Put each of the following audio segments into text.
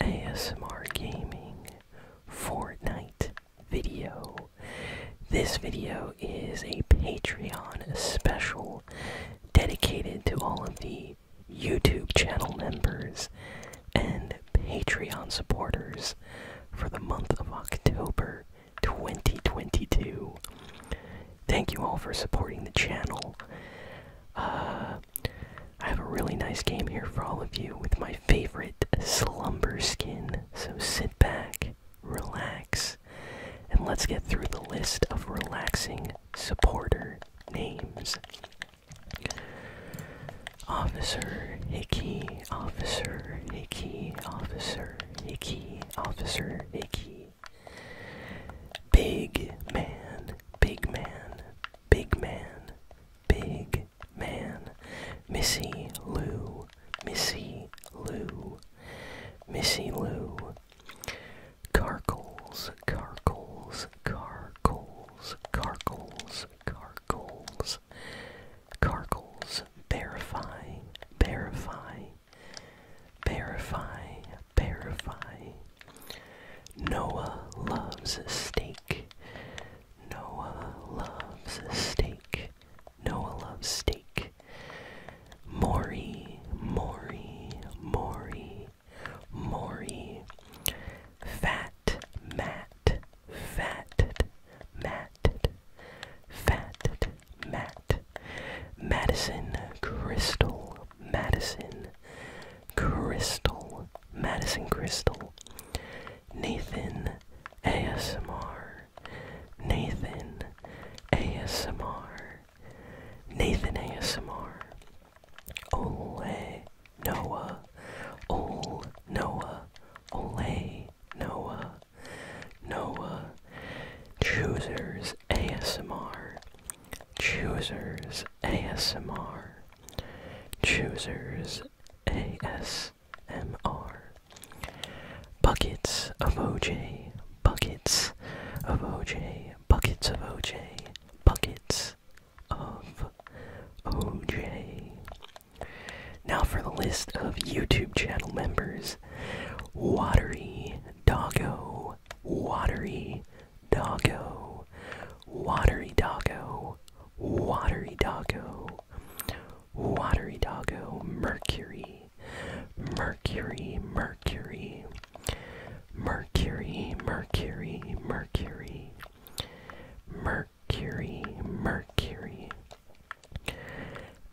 ASMR Gaming Fortnite video. This video is a Patreon special dedicated to all of the YouTube channel members and Patreon supporters for the month of October 2022. Thank you all for supporting the channel. Uh, I have a really nice game here for all of you with my favorite slumber skin. So sit back, relax, and let's get through the list of relaxing supporter names. Officer Hickey, Officer Hickey, Officer Hickey, Officer Hickey. Big man, big man, big man, big man. Missy Lou, Missy Lou, Missy Lou. Carcles, carcles, carcles, carcles, carcles. Carcles, verify, verify, verify, verify. Noah loves a steak. Noah loves a steak. Noah loves steak. Maury, Maury, Maury, Maury. Fat, Matt, fatted, matted, fatted, Matt. Madison Crystal, Madison Crystal, Madison Crystal, Nathan ASMR, Nathan ASMR, Nathan ASMR, Ole Noah, Ole Noah, Ole Noah, Noah, Choosers ASMR, Choosers ASMR. Choosers ASMR. Buckets of OJ. Buckets of OJ. Buckets of OJ. Buckets of OJ. Now for the list of YouTube channel members Watery doggo, watery doggo, watery doggo, watery doggo, watery doggo, mercury, mercury, mercury, mercury, mercury, mercury, mercury.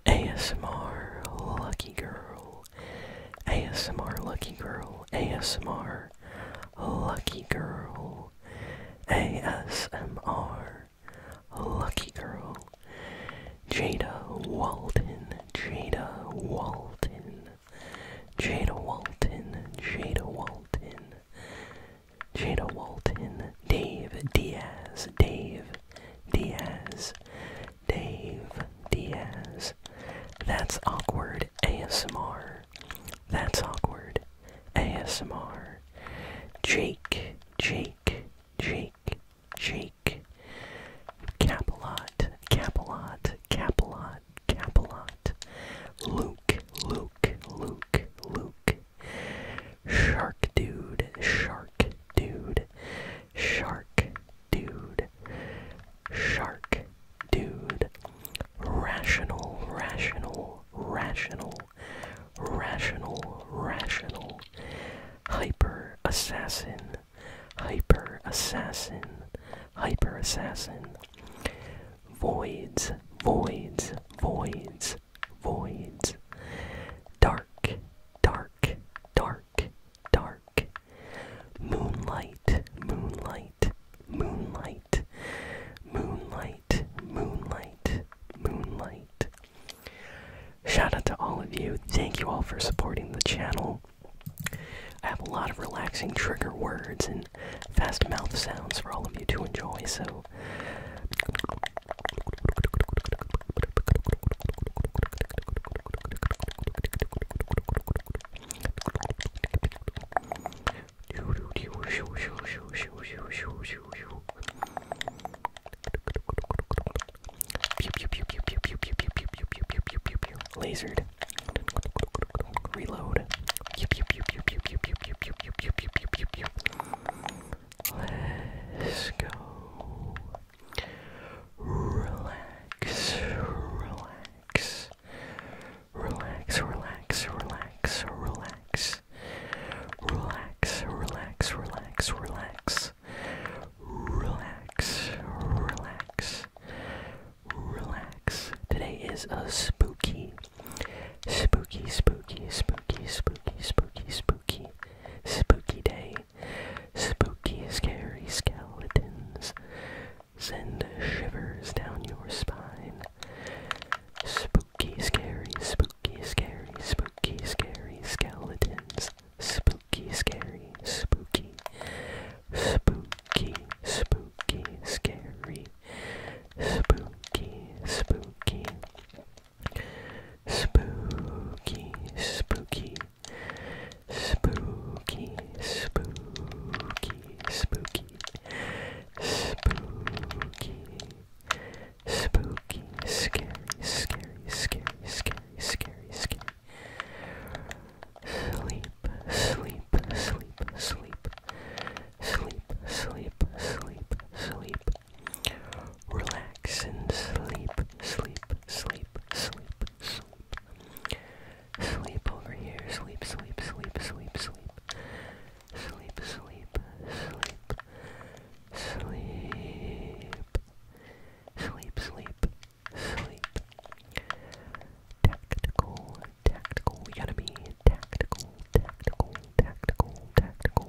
ASMR Lucky Girl ASMR Lucky Girl, ASMR Lucky Girl, ASMR Lucky Girl, Jada Walton, Jada Walton, Jada Walton, Jada Walton, Jada Walton, Dave Diaz, Dave Diaz, Dave Diaz. That's awkward ASMR. That's awkward ASMR. Jake, Jake, Jake, Jake. Capelot, Capelot, Capelot, Capelot. Luke, Luke, Luke, Luke. Shark Dude, Shark Dude. Shark Dude, Shark Dude, Rational, Rational, Rational, Rational, Rational, Hyper Assassin, Hyper Assassin, Hyper Assassin, Voids, Voids, Voids, Voids, Dark, Dark, Dark dark, Moonlight, moonlight, moonlight, moonlight, moonlight, moonlight. Shout out to all of you. Thank you all for supporting the channel. I have a lot of relaxing trigger words and fast mouth sounds for all of you to enjoy, so Lasered. Reload. Let's go. Relax, relax, relax, relax, relax, relax, relax, relax, relax, relax, relax, relax, relax. Today is a spooky, spooky, spooky, spooky, spooky, spooky, spooky, spooky day. Spooky, scary skeletons send shivers down your spine. Spooky, scary, spooky, scary, spooky, scary skeletons. Spooky, scary, spooky. Spooky, spooky, scary. Spooky, spooky. Spooky, spooky, Spooky, spooky, spooky, spooky, spooky, scary, scary, scary, scary, scary, scary. Sleep, sleep, sleep, sleep, sleep, sleep, sleep, sleep, Relax and sleep, sleep, sleep, sleep, sleep. Sleep over here. Sleep, sleep, sleep, sleep, sleep. Sleep, sleep, sleep, sleep. Sleep, sleep, sleep. Tactical, tactical. We gotta be tactical, tactical, tactical, tactical,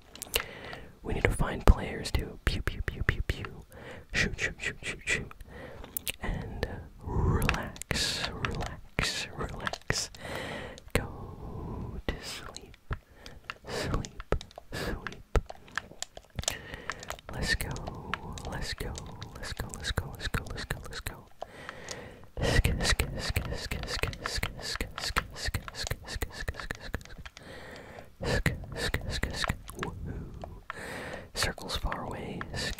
We need to find players to pew pew pew pew pew, shoot shoot shoot shoot shoot, and uh, relax, relax, relax. Go to sleep, sleep, sleep. Let's go, let's go, let's go, let's go, let's go, let's go. Let's go. Circles far away. Sk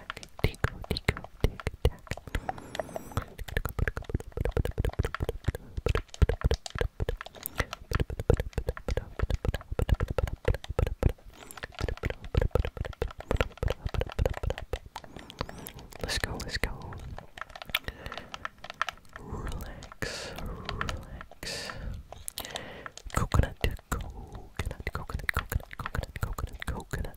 Let's go, let's go. Relax, relax. Coconut, coconut, coconut, coconut, coconut, coconut, coconut,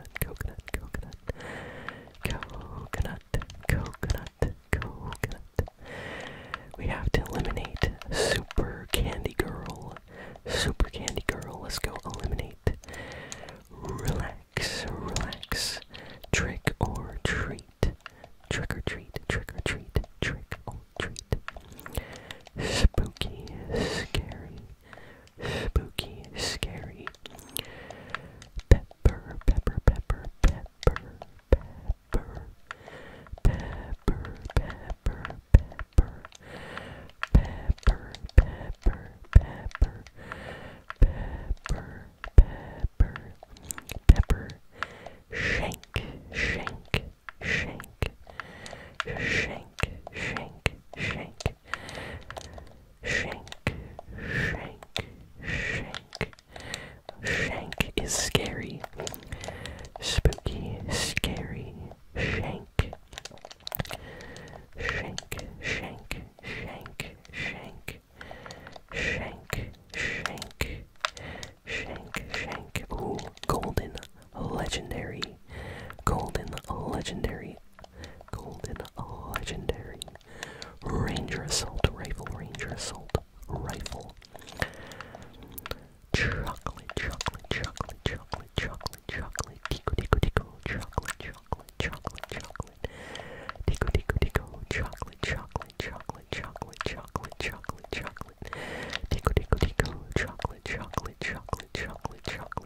coconut, coconut, coconut, coconut, coconut, coconut. We have to eliminate Super Candy Girl. Super Candy Girl, let's go eliminate. Relax, relax. Trick or treat. Trick or treat, trick or treat, trick or treat. Spooky, scary, spooky, scary. Pepper, pepper, pepper, pepper, pepper, pepper, pepper, pepper, pepper, pepper, pepper, pepper, pepper, pepper, shank, shank, shank, shank, shank, shank, Shank, shank, shank. Shank is scary. Spooky, scary. Shank. Shank, shank, shank, shank. Shank, shank, shank, shank. Ooh, golden legendary, golden legendary, golden legendary, ranger assault rifle, ranger assault rifle, chocolate, chocolate, chocolate, chocolate, chocolate, chocolate, tico, tico, tico, chocolate, chocolate, chocolate, chocolate, tico, tico, tico, chocolate, chocolate, chocolate, chocolate, chocolate, chocolate, chocolate, tico, tico, tico, chocolate, chocolate, chocolate, chocolate, chocolate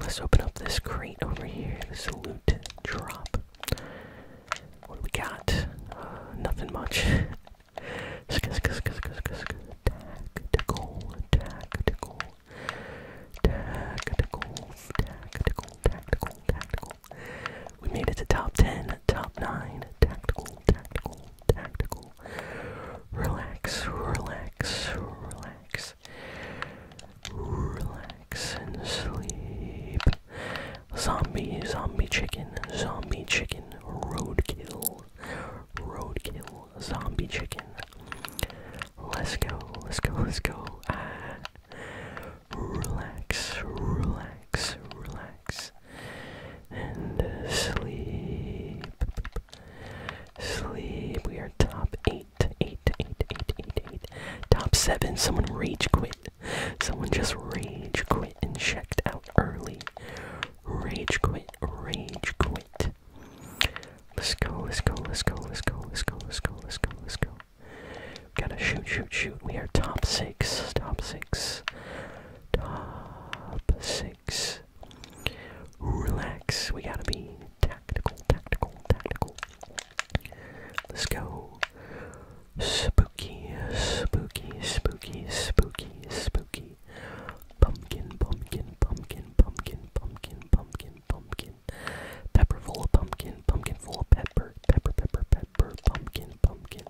Let's open up this crate over here. Salute, drop. What do we got? Uh, nothing much. tactical, tactical, tactical, tactical, tactical, tactical. We made it to top 10, top 9. Tactical, tactical, tactical. Relax, relax, relax relax. and sleep. Zombie, zombie chicken, zombie chicken, roadkill, roadkill, zombie chicken. Let's go, let's go, let's go. Ah. Relax, relax, relax, and uh, sleep sleep. Sleep. We are top eight. Eight, eight, eight, eight, eight. Top seven. Someone rage quit. Someone just rage quit and checked out early. Rage quit. Rage quit. Let's go, let's go, let's go, let's go, let's go, let's go, let's go, let's go. We gotta shoot, shoot, shoot. We are top six. Top six. Top six. Relax. We gotta be tactical, tactical, tactical. Let's go. Spooky, spooky, spooky, spooky, spooky. Pumpkin, pumpkin, pumpkin, pumpkin, pumpkin, pumpkin, pumpkin. Pepper full of pumpkin, pumpkin full of pepper, pepper, pepper, pepper, pumpkin, pumpkin.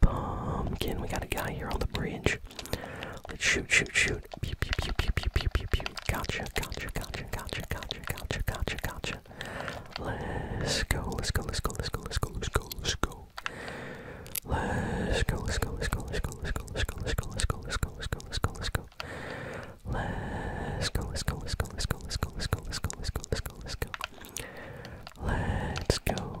Pumpkin, we got a guy here on the bridge. Let's shoot, shoot, shoot. Pew, pew, pew, pew, pew, pew, pew, pew. Gotcha, gotcha, gotcha, gotcha, gotcha, gotcha, gotcha, gotcha. Let's go, let's go, let's go, let's go, let's go, let's go, let's go. Let's go, let's go, let's go, let's go, let's go, let's go, let's go, let's go, let's go, let's go, let's go, let's go. Let's go, let's go, let's go, let's go, let's go, let's go, let's go, let's go, let's go, let's go. Let's go.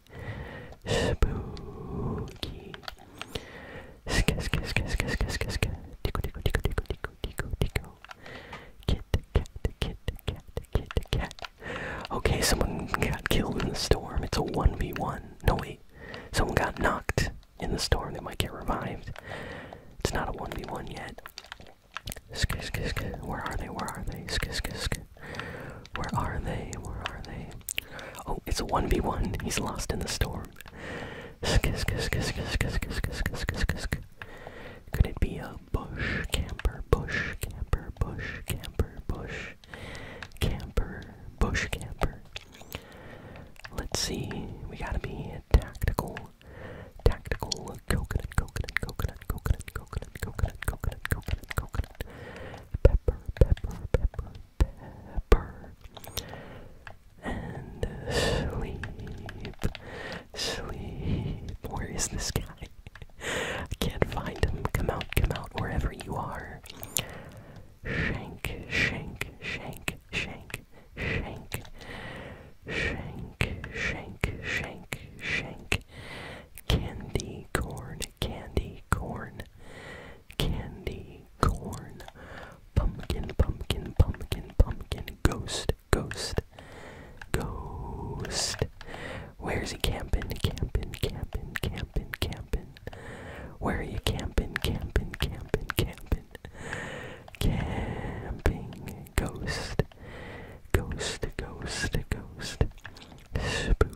spooky. Sk sk sk sk sk sk sk. Tickle tickle tickle tickle tickle tickle tickle. Kit cat kit cat kit cat. Okay, someone got killed in the storm. It's a one v one. No wait, someone got knocked in the storm. They might get revived. It's not a one v one yet. Sk sk sk. Where are they? Where are they? Sk sk sk. Where are they? Where are they? Oh, it's a 1v1. He's lost in the storm. Could it be a bush camper? Bush camper, bush camper, bush camper, bush camper. Let's see. We gotta be tactical. Tactical coconut, coconut, coconut, coconut, coconut, coconut, coconut, coconut, coconut, pepper, pepper, pepper, pepper. And sleep, sleep. Where is this guy? I can't find him. Come out, come out, wherever you are. Shank, shank, shank, shank, shank, shank, shank, shank, shank. Candy corn, candy corn, pumpkin, candy, corn, pumpkin, pumpkin, pumpkin, pumpkin, ghost, ghost, ghost. Where's he camping? Camping, camping, camping, camping. Where are you camping? Camping, camping, camping. Camping, ghost, ghost, ghost, ghost. Spook,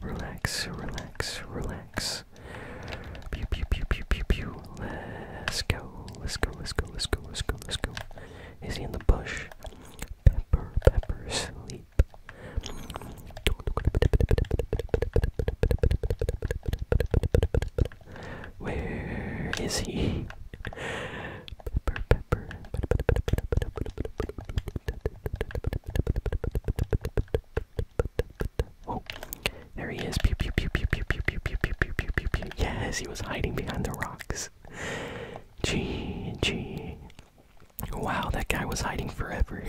relax. Relax, relax, Pew, pew, pew, pew, pew, pew. Let's go, let's go, let's go, let's go, let's go, let's go. Is he in the bush? Pepper, pepper, sleep. Where is he? Oh, there he is. Pew pew pew pew pew pew pew pew pew pew pew pew. Yes, he was hiding behind the rocks. Gee, gee. Wow, that guy was hiding forever.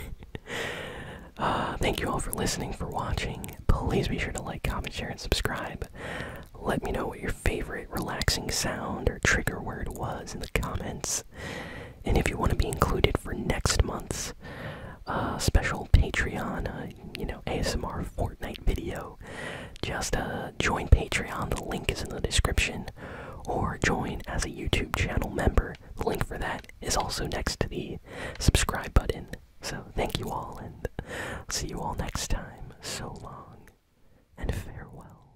uh, thank you all for listening, for watching. Please be sure to like, comment, share, and subscribe. Let me know what your favorite relaxing sound or trigger word was in the comments and if you want to be included for next month's uh, special Patreon, uh, you know, ASMR Fortnite video, just uh, join Patreon. The link is in the description, or join as a YouTube channel member. The link for that is also next to the subscribe button. So thank you all, and see you all next time. So long, and farewell.